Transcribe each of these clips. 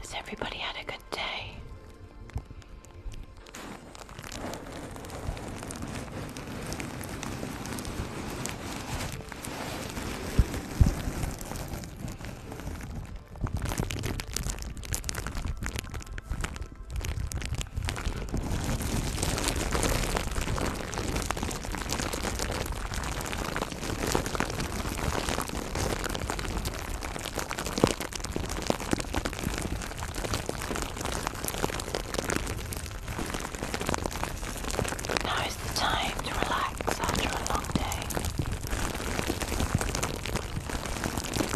Has everybody had a good day? Now is the time to relax after a long day.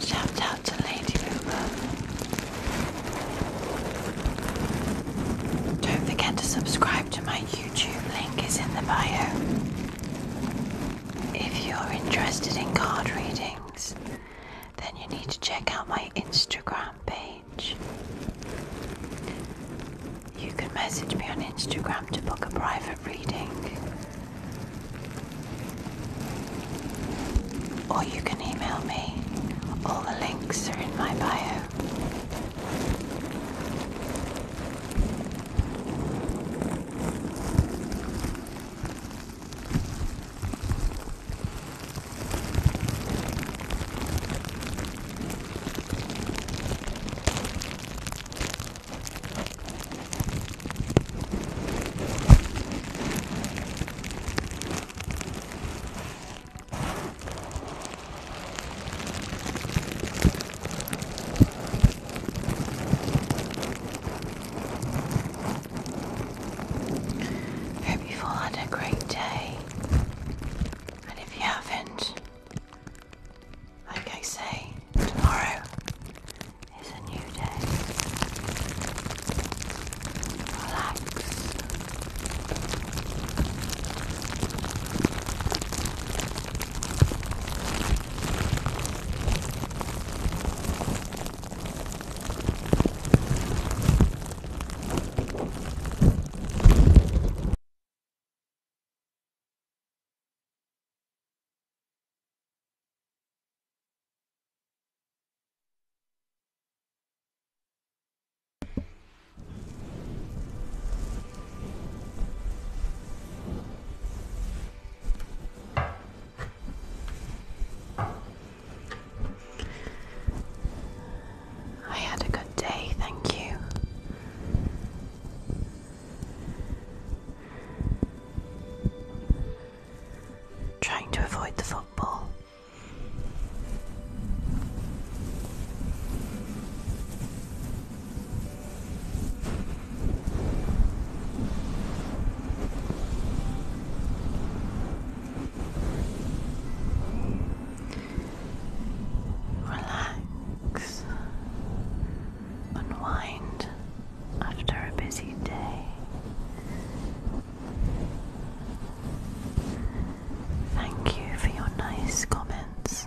Shout out to Lady Uber. Don't forget to subscribe to my YouTube link is in the bio. If you're interested in card readings, then you need to check out my Instagram page. You can message me on Instagram to book a private reading. Or you can email me. All the links are in my bio. Hope you've all had a great day, and if you haven't, like I say, tomorrow is a new day. Relax. I had a good day, thank you. Trying to avoid the football. Relax, unwind after a busy day. Thank you for your nice comments.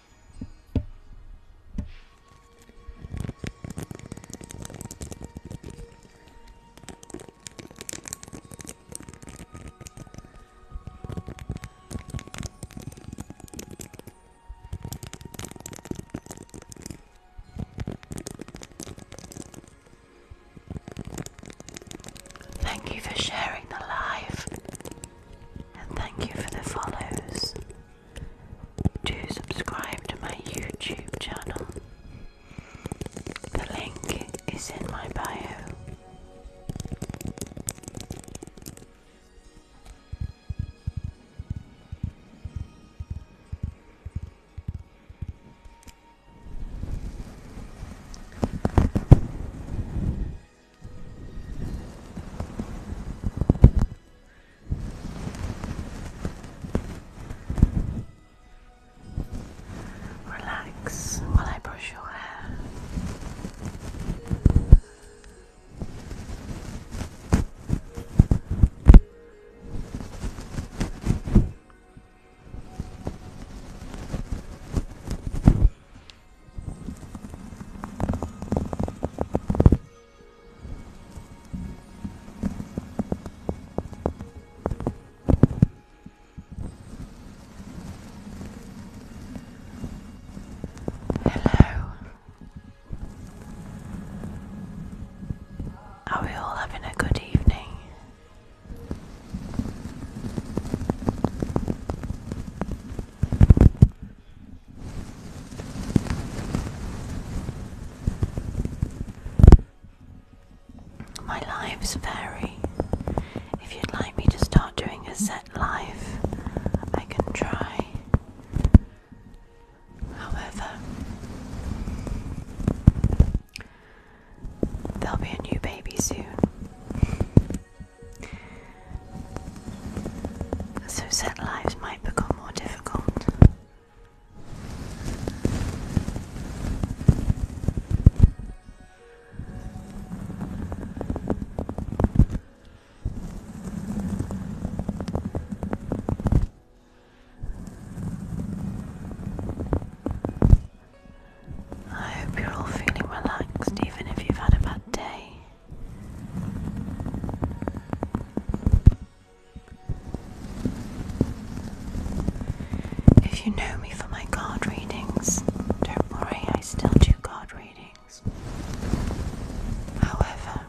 Thank you for sharing the live and thank you for the follows to subscribe to my YouTube channel. The link is in my bio. Relax while I brush your hair. Hello. Are we all having a good evening? My lives vary. If you'd like me to start doing a set live, I can try. However, there'll be a new baby soon so set lives might become more difficult. I hope you're all feeling relaxed, even if you've had a bad day. If you know me for my card readings, don't worry, I still do card readings. However,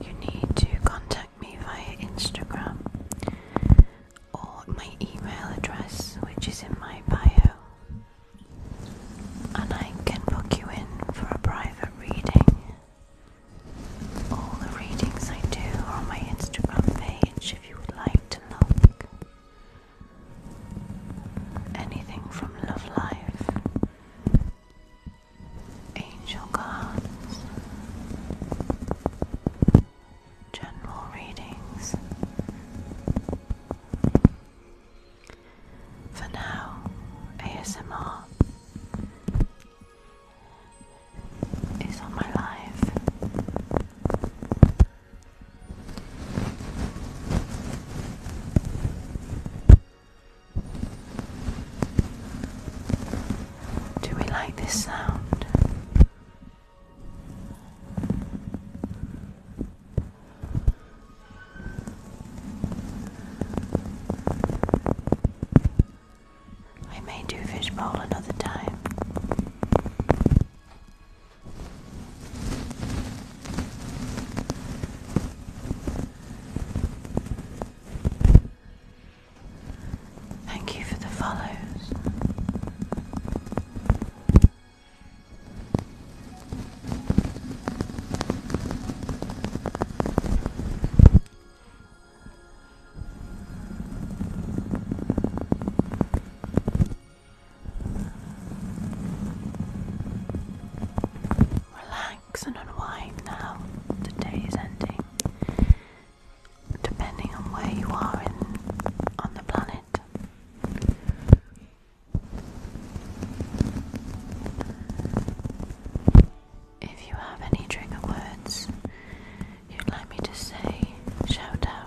you need to contact me via Instagram or my email address, which is in my bio and I can book you in for a private reading. All the readings I do are on my Instagram page if you would like to look. Anything from Love Life, Angel Cards, General Readings. For now, ASMR is on my life. Do we like this sound? I may do fishbowl another time. Thank you for the follows. Relax and unwind now. The day is ending. Depending on where you are in, on the planet, if you have any trigger words you'd like me to say, shout out.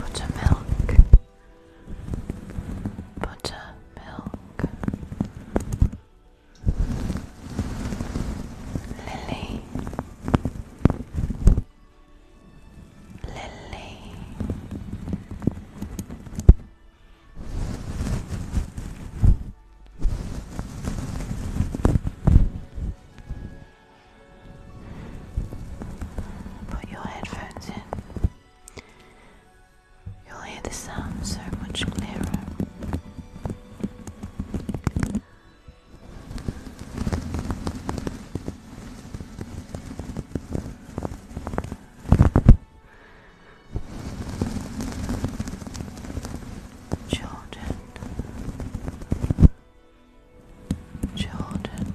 Buttermilk, butter, milk. Lily, Lily, put your headphones in. You'll hear the sound so much clearer. Children, children,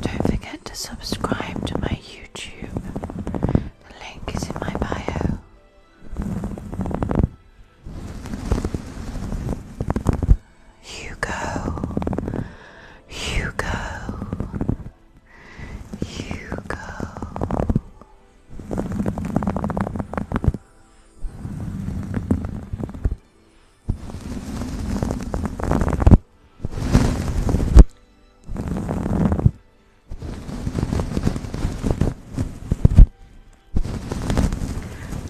Don't forget to subscribe to my YouTube. The link is in my bio. You You go. go. You go.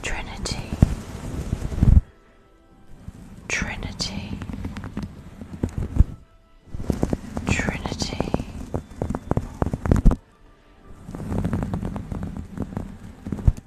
Trinity, Trinity, Trinity.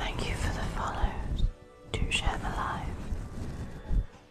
Thank you for the follows to share the live.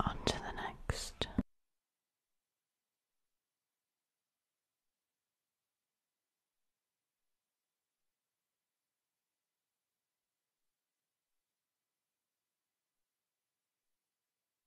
On to the next.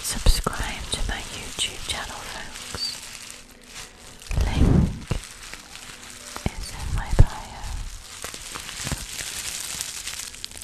Subscribe to my YouTube channel, folks. Link is in my bio.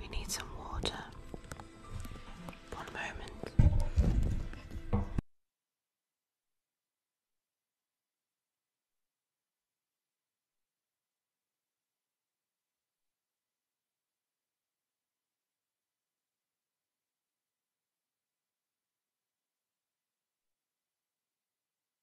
We need some water. One moment.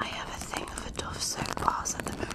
I have a thing of a Dove soap bars at the moment.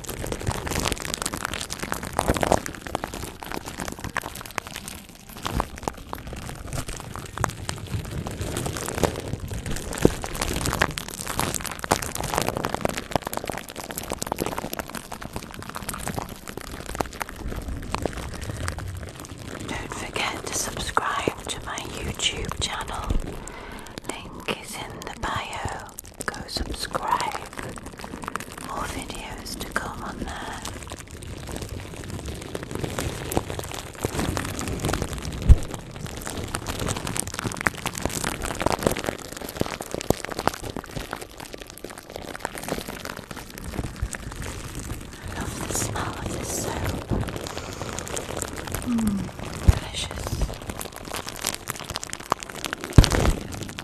Don't forget to subscribe to my YouTube channel. Link is in the bio go subscribe. More videos to come on there. love the smell of this soap. Mmm, delicious.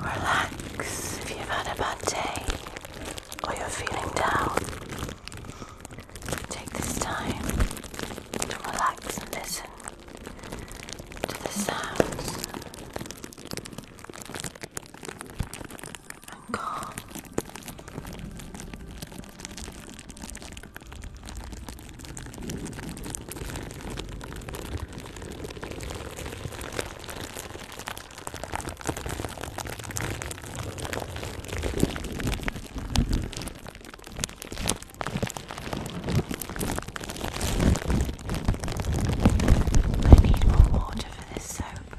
Relax if you've had a bad day or you're feeling down. Take this time to relax and listen to the sounds I need more water for this soap.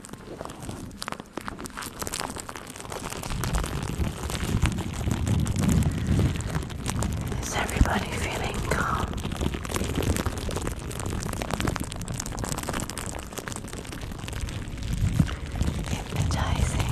Is everybody feeling calm? Hypnotizing.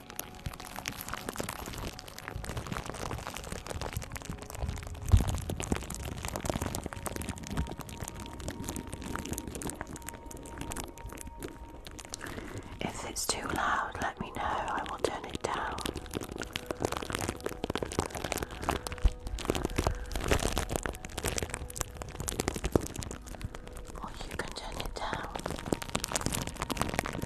If it's too loud, let me know. I will turn it down. Or you can turn it down.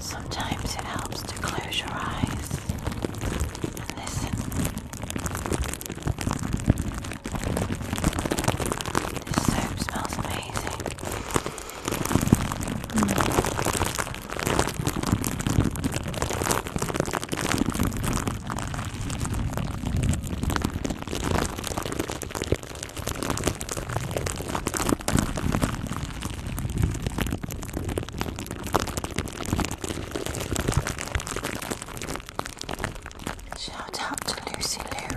Sometimes it helps to close your eyes and listen. This soap smells amazing. Shout out to Lucy Lou.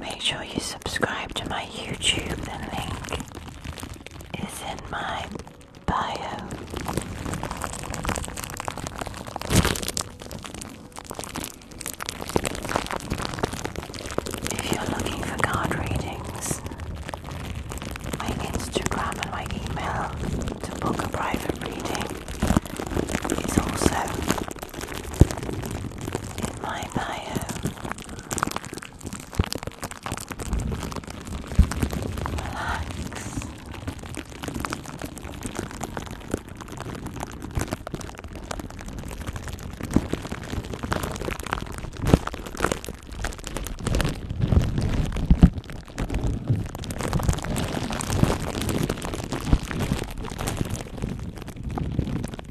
Make sure you subscribe to my YouTube. The link is in my bio. If you're looking for card readings, my Instagram and my email to book a private reading is also in my bio. Relax.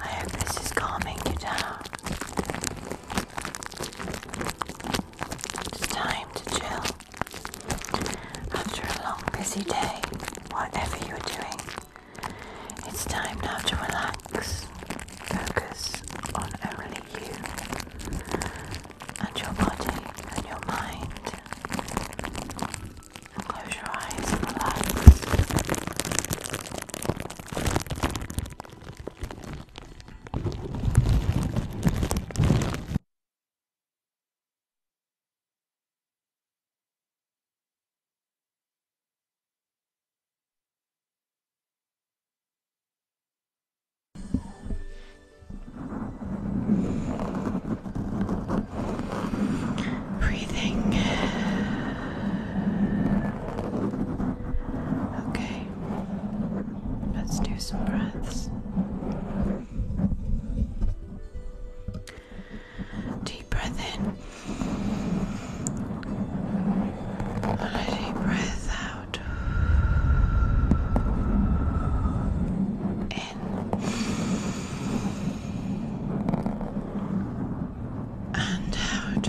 I hope this is calming you down. It's time to chill. After a long, busy day, whatever you're doing, it's time now to relax. Focus on only you and your body and your mind. And close your eyes and relax. Breathing. Okay let's do some breaths. Deep breath in, and a deep breath out. In and out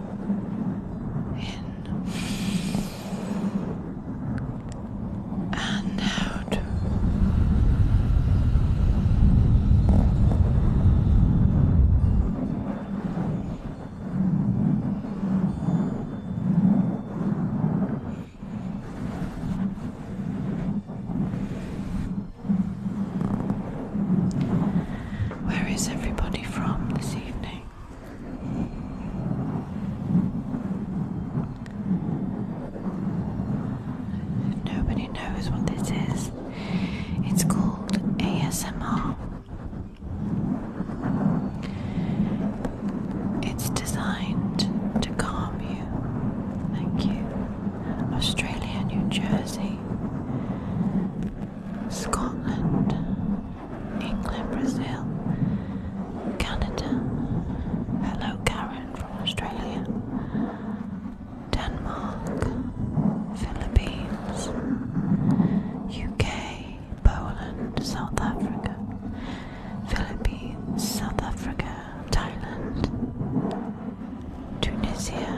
in and out. Where is everybody from this evening? nobody knows what this is, it's called ASMR. It's designed to calm you. Thank you. Australia, New Jersey. Scotland, England, Brazil, Canada. Hello, Karen from Australia. Denmark, Philippines, UK, Poland, South Africa, Philippines, South Africa, Thailand, Tunisia,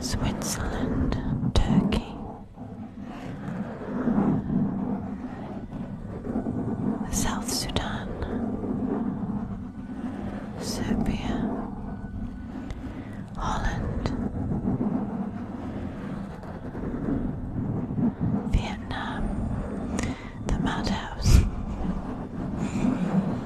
Switzerland, Turkey. South Sudan, Serbia, Holland, Vietnam, the Madhouse,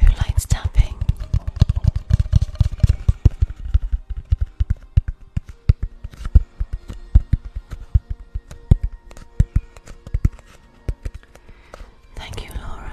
Who likes tapping? Thank you, Laura.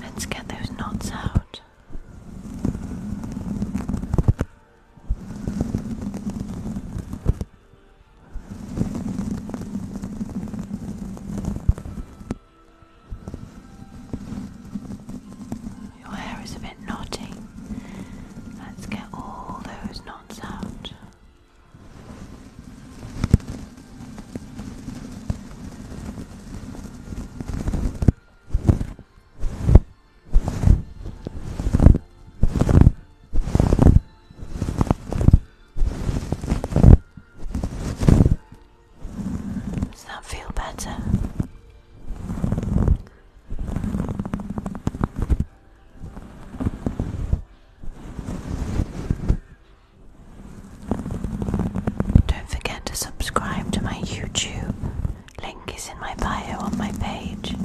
Let's get those knots out. Your hair is a bit knotty. Let's get all those knots out. Does that feel better? Don't forget to subscribe to my YouTube. Link is in my bio on my page.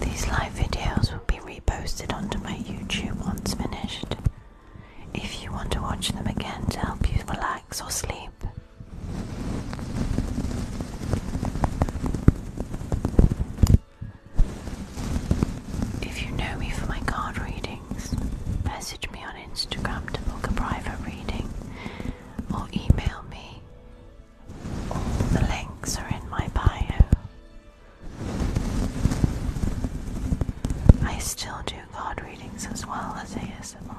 These live videos will be reposted onto my YouTube once finished. If you want to watch them again to help you relax or sleep. If you know me for my card readings, message me on Instagram to book a private reading or email me. All the links are in my bio. I still do card readings as well as I ASMR.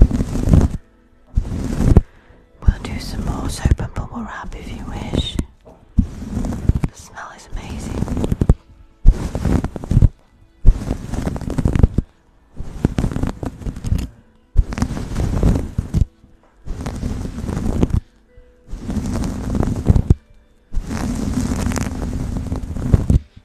We'll do some more soap and bubble wrap if you wish. The smell is amazing.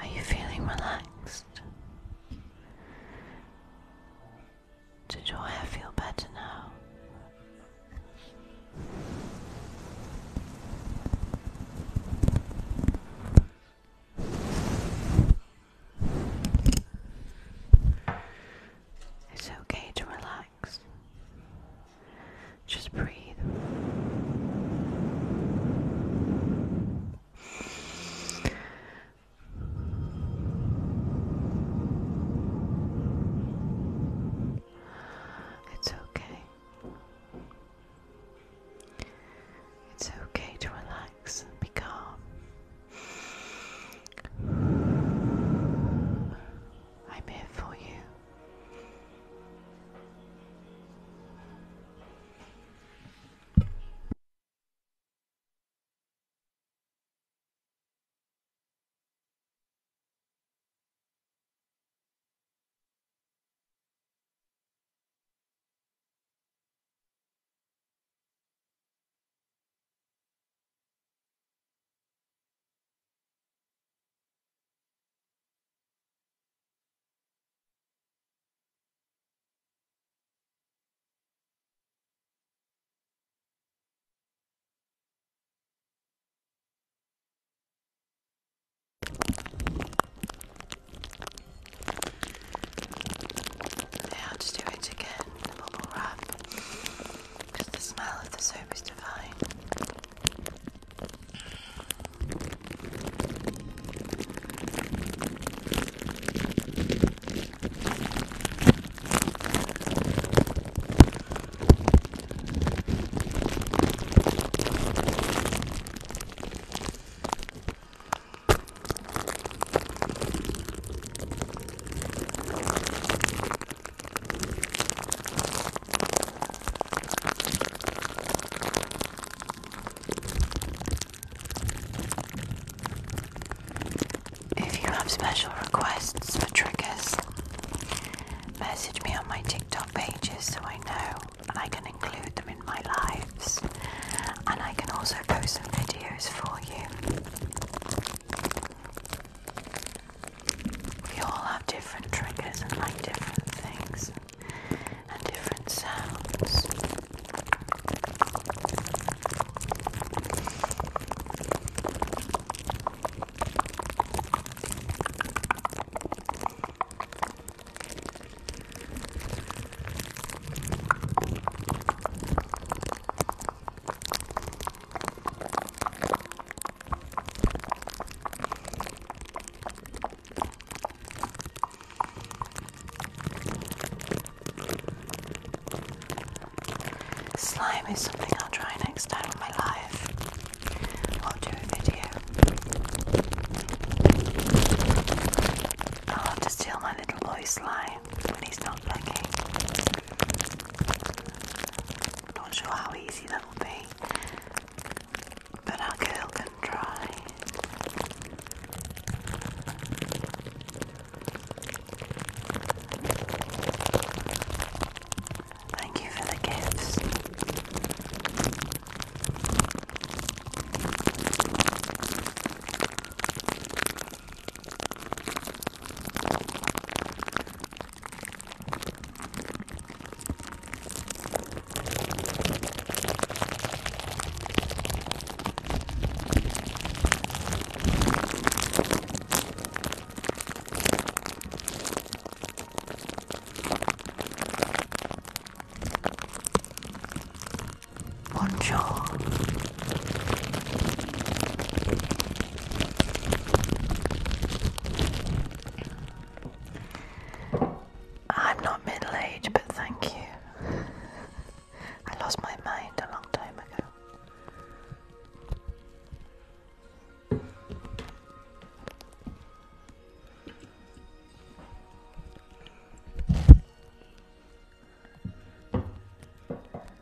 Are you feeling relaxed? Did your hair feel better now? It's okay to relax. Just breathe. It's okay. It's okay to relax and be calm. I'm here for you. Now, just do it again, a little rough because the smell of the soap is divine. If you have special requests for triggers, message me on my TikTok pages so I know I can include them in my lives. And I can also post some videos for you. We all have different triggers and like different things and different sounds. Slime is something I'll try next time in my life. I'll do a video. I'll have to steal my little boy slime when he's not looking do Not sure how easy that will be, but our girl can try. Thank you for the gifts. Bonjour. I'm not middle aged, but thank you. I lost my mind a long time ago.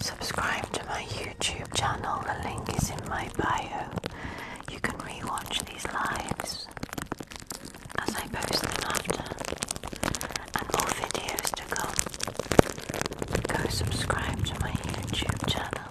Subscribe to my YouTube channel, the link is in my bio. You can rewatch these lives as I post them after, and more videos to come. Go subscribe to my YouTube channel.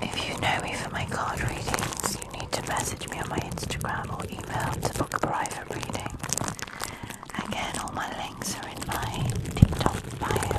If you know me for my card readings, you need to message me on my Instagram or email to book a private reading. Again, all my links are in my TikTok bio.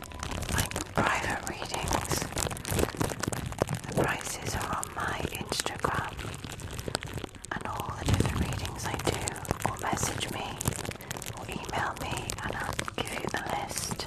private readings. The prices are on my Instagram and all the different readings I do, or message me, or email me, and I'll give you the list.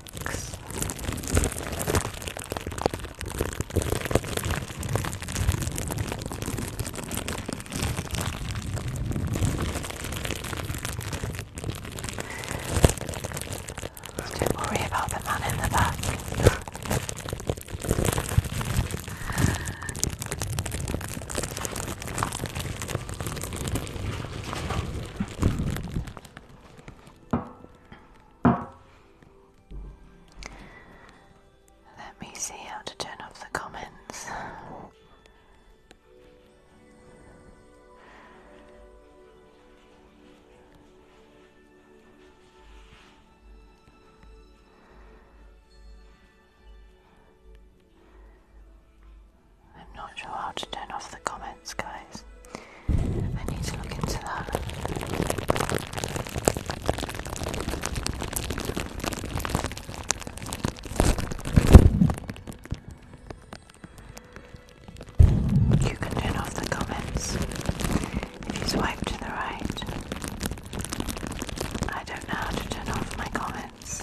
relax. Don't worry about the man in the back. Let me see how to turn off the comments. I'm not sure how to turn off the comments, guys. I need to look into that. You can turn off the comments if you swipe to the right. I don't know how to turn off my comments.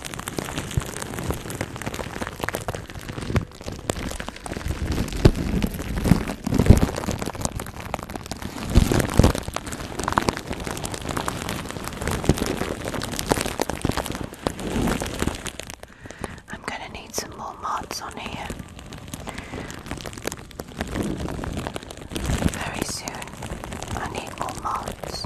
I'm gonna need some more mods on here very soon. I need enable modes.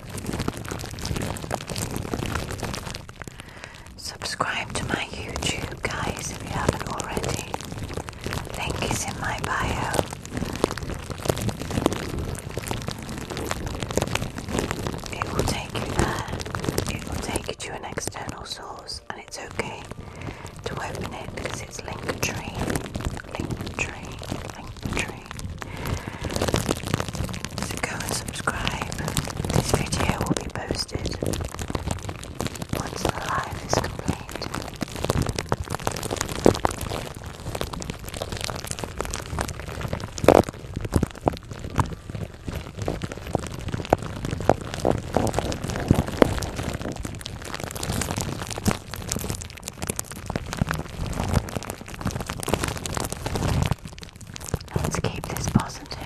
Subscribe to my YouTube, guys, if you haven't already. Link is in my bio. It will take you there. It will take you to an external source, and it's okay to open it because it's Linktree. Linktree. Linktree. So go and subscribe. This video will be posted once the live is complete. Let's keep this positive.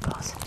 Positive.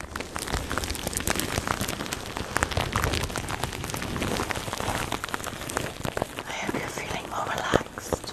I hope you're feeling more relaxed.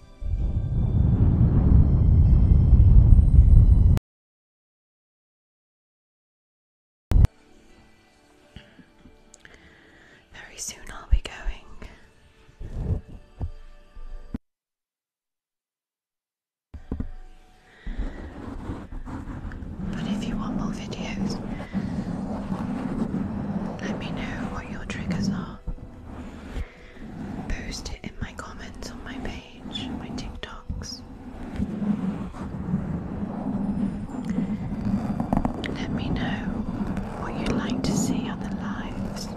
Very soon I'll be going. But if you want more videos, let me know what your triggers are post it in my comments on my page, my TikToks. Let me know what you'd like to see on the lives.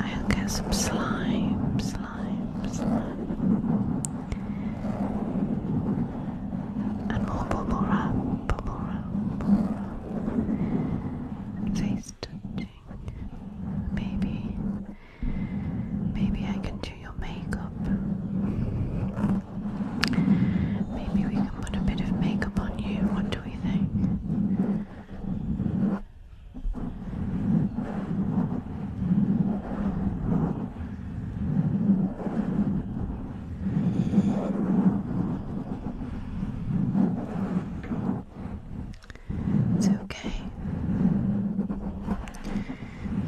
I'll get some slime, slime, slime. And more bubble wrap, bubble wrap, bubble wrap. Face touching. Maybe, maybe I can do your makeup. Maybe we can put a bit of makeup on you. What do we think? It's okay.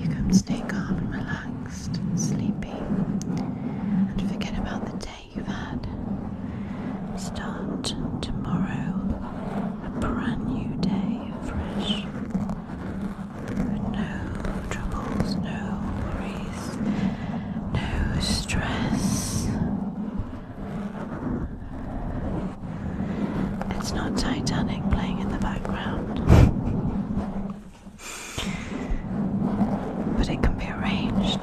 You can stay calm and relaxed and sleepy and forget about the day you've had. Start tomorrow a brand new day fresh. No troubles, no worries, no stress. It's not Titanic playing in the background. but it can be arranged.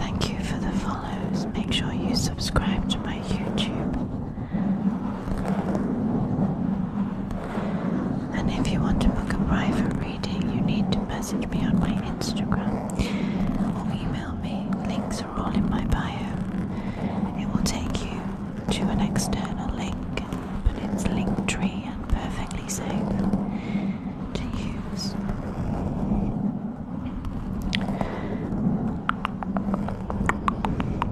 Thank you for the follows. Make sure you subscribe to my YouTube and if you want to book a private reading, you need to message me on my Instagram or email me. Links are all in my bio. It will take you to an external link, but it's Linktree and perfectly safe to use.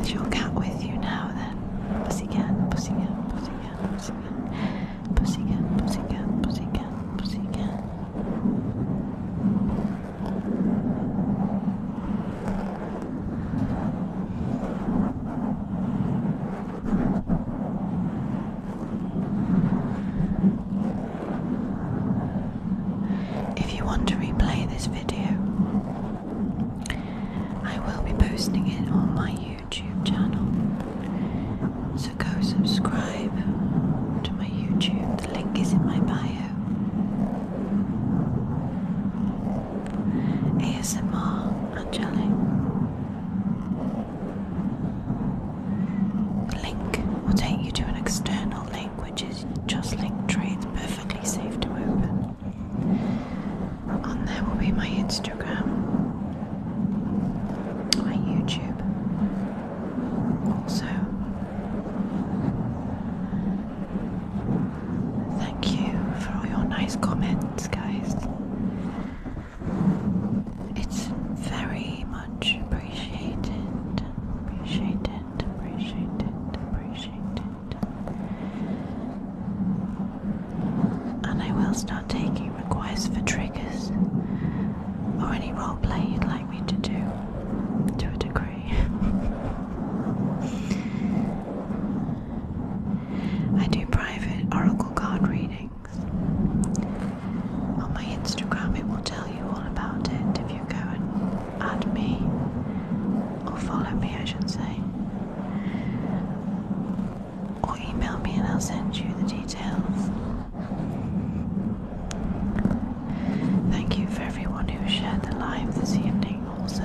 Is your cat with you now then? pussy cat, pussy cat, pussy cat, pussy cat, pussy cat. If you want to replay this video, I will be posting it on my YouTube channel. So go subscribe to my YouTube, the link is in my bio. ASMR Angelic. Link will take you to an external link, which is just link trades perfectly safe to open. On there will be my Instagram, my YouTube, also. Thank you for all your nice comments, guys. It's very much appreciated, appreciated, appreciated, appreciated. And I will start taking requests for triggers or any roleplay you'd like me to do to a degree. I do private oracle card reading. On my Instagram, it will tell you all about it if you go and add me or follow me, I should say, or email me and I'll send you the details. Thank you for everyone who shared the live this evening, also.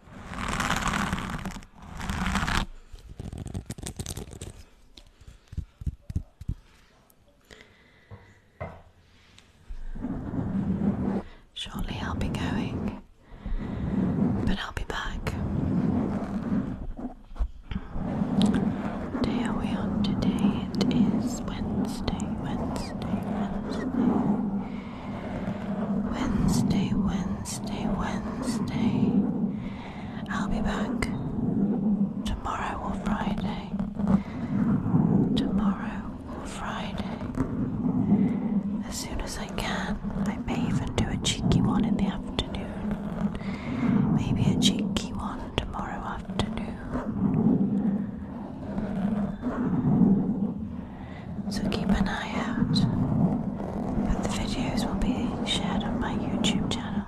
Shortly, I'll be going, but I'll be back. Day are we on today? It is Wednesday, Wednesday, Wednesday. Wednesday, Wednesday, Wednesday. I'll be back tomorrow or Friday. Tomorrow or Friday. As soon as I can. I may even do a cheeky one in the afternoon. Maybe a cheeky one tomorrow afternoon so keep an eye out. But the videos will be shared on my YouTube channel,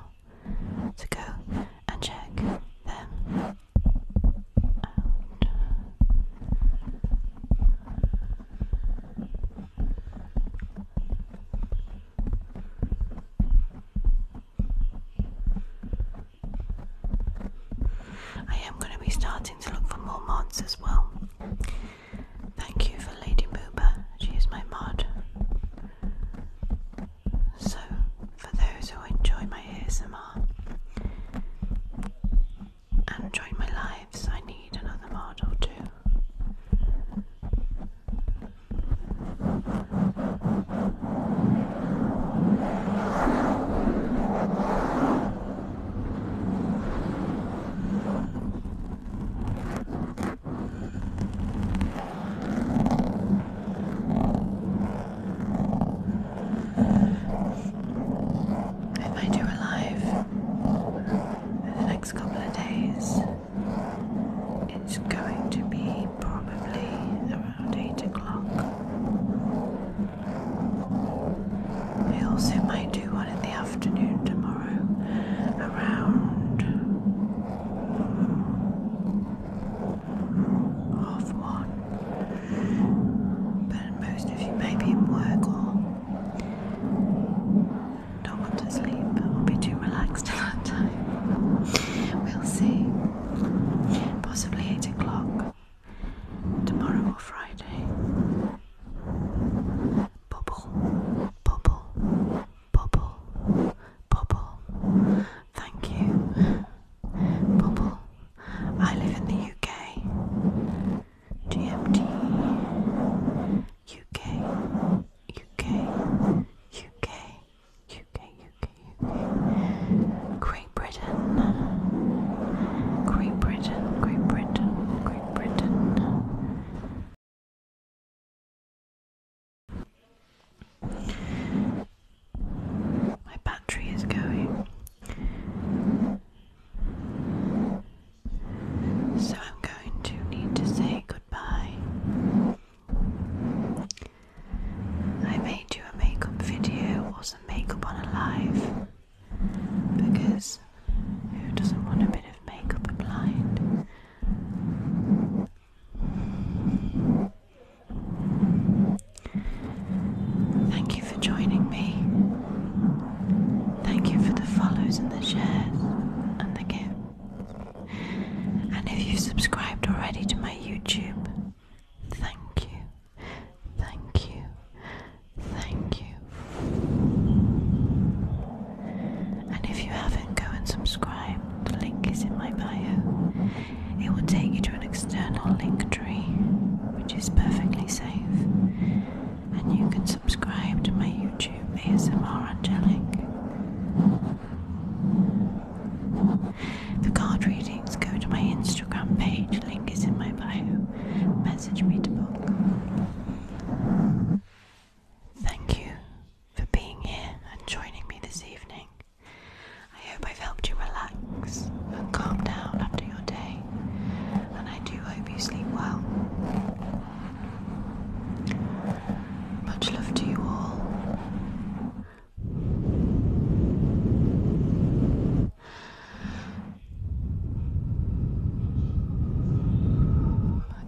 so go and check them out. I am going to be starting to look for more mods as well. Thank you for Lady Booba, she is my mod. So, for those who enjoy my ASMR and join my lives, I need another mod or two. If I do alive in the next couple of days, it's going to be probably around 8 o'clock. I also might do one in the afternoon tomorrow around half one. But most of you may be in work or don't want to sleep or be too relaxed at that time. We'll see. Possibly 8 o'clock tomorrow or Friday bubble, bubble, bubble, bubble. Thank you, bubble. I live in the UK. GMT, UK, UK, UK, UK, UK, UK. Great Britain. Great Britain, Great Britain, Great Britain, my battery is going. So I'm going to need to say goodbye. I made you a makeup video wasn't makeup on a live because who doesn't want a bit of makeup applied? Thank you for joining me. Thank you for the follows and the shares and the gifts. And if you've subscribed already to my YouTube, thank you, thank you, Thank you. And if you haven't, go and subscribe. The link is in my bio. It will take you to an external link tree, which is perfectly safe. And you can subscribe to my YouTube ASMR Angelic. For card readings, go to my Instagram page. Link is in my bio. Message me to book. Thank you for being here and joining me this evening. I hope I've helped you relax and calm down after your day, and I do hope you sleep well. Much love to you all.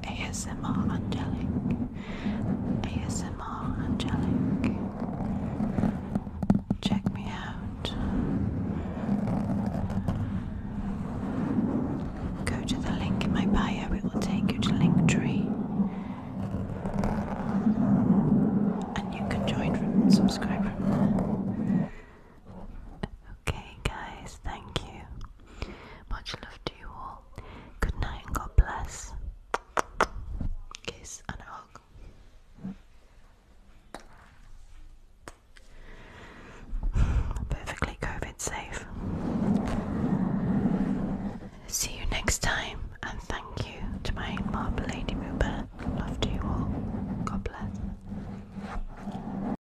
ASMR Angelic. ASMR Angelic. Check me out. Go to the link in my bio, it will take you to Linktree. And you can join from subscribe Okay, guys, thank you. Much love to you all. Good night and God bless. Kiss and hug. Perfectly COVID safe. See you next time, and thank you to my marble lady Muba. Love to you all. God bless.